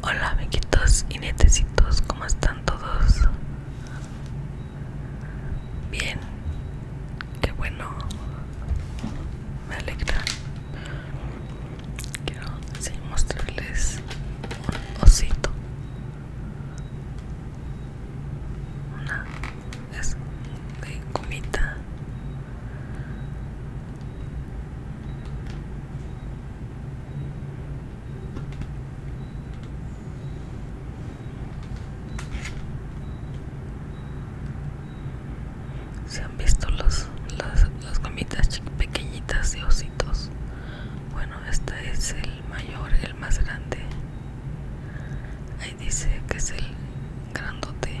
Hola amiguitos y netecitos, ¿cómo están todos? Bien, qué bueno, me alegra. Quiero mostrarles un osito. Una es de comida se han visto los, las, las gomitas pequeñitas de ositos bueno este es el mayor el más grande ahí dice que es el grandote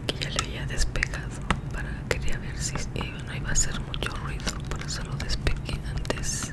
Aquí ya le había despejado para quería ver si eh, no iba a hacer mucho ruido por eso lo despegué antes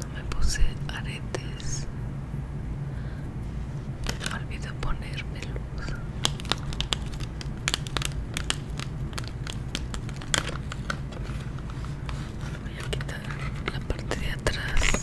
no me puse aretes me olvidé ponerme luz voy a quitar la parte de atrás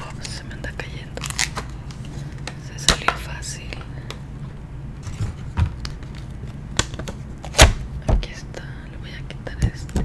Oh, se me anda cayendo. Se salió fácil. Aquí está, le voy a quitar este.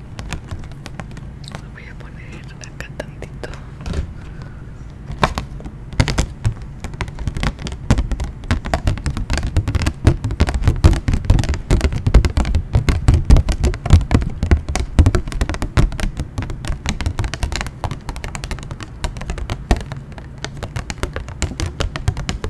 lo voy a poner acá tantito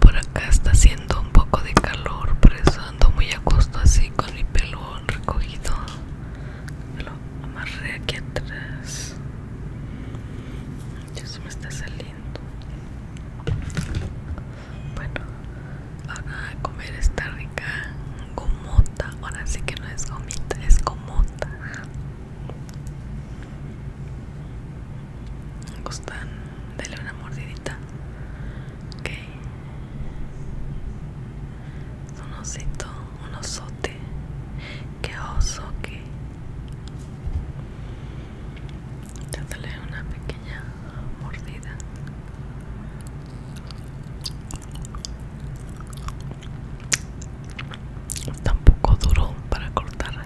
Por acá está haciendo un poco de calor, por eso ando muy a gusto así con mi pelo recogido. lo amarré aquí atrás. eso me está saliendo. Bueno, ahora a comer esta rica gomota. Ahora sí que no es gomita, es gomota gustan dale una mordidita ok un osito un osote que oso que dale una pequeña mordida Tampoco duro para cortarla.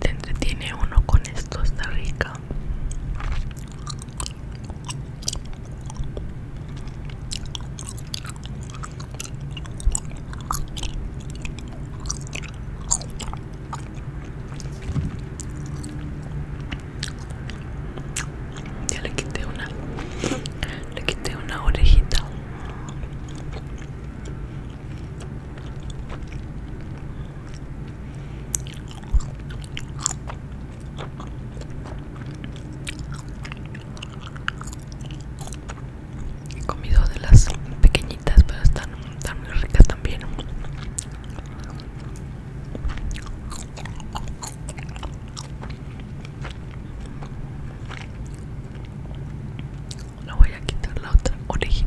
Te entretiene uno con esto, está rica. Ya le quité una, le quité una orejita. He comido de las pequeñitas, pero están, están ricas también no voy a quitar la otra orejita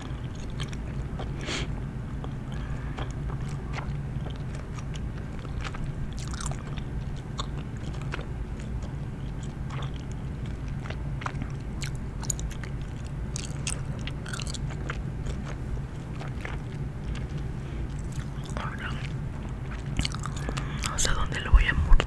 no sé dónde lo voy a morder.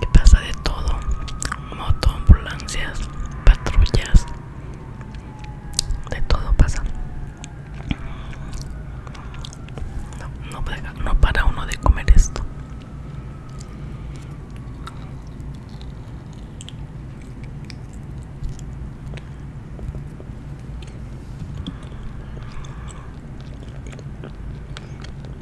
que pasa de todo moto ambulancias patrullas de todo pasa no, no para uno de comer esto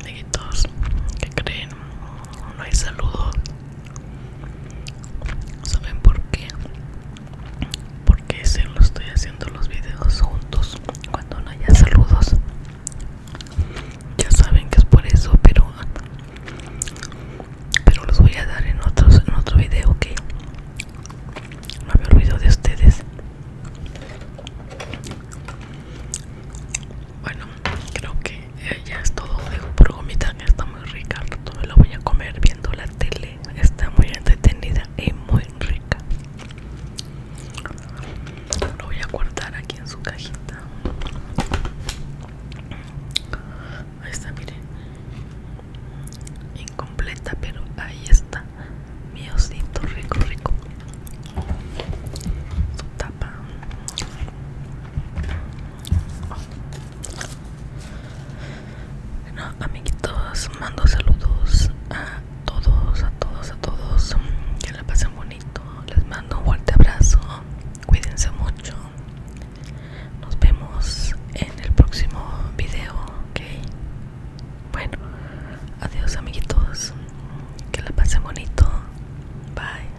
Amiguitos, ¿qué creen? No hay saludos. ¿Saben por qué? porque se lo estoy haciendo los videos juntos cuando no haya saludos ya saben que es por eso pero pero los voy a dar en otros en otro video que no me olvido de ustedes bueno creo que eh, ya es todo dejo por gomita que está muy rica lo voy a comer viendo la tele está muy entretenida y muy rica lo voy a guardar aquí en su cajita ahí está miren incompleta pero ahí está mi osito rico rico su tapa bueno, amiguitos, mando saludos a todos, a todos, a todos. Que la pasen bonito. Les mando un fuerte abrazo. Cuídense mucho. Nos vemos en el próximo video, ¿ok? Bueno, adiós amiguitos. Que la pasen bonito. Bye.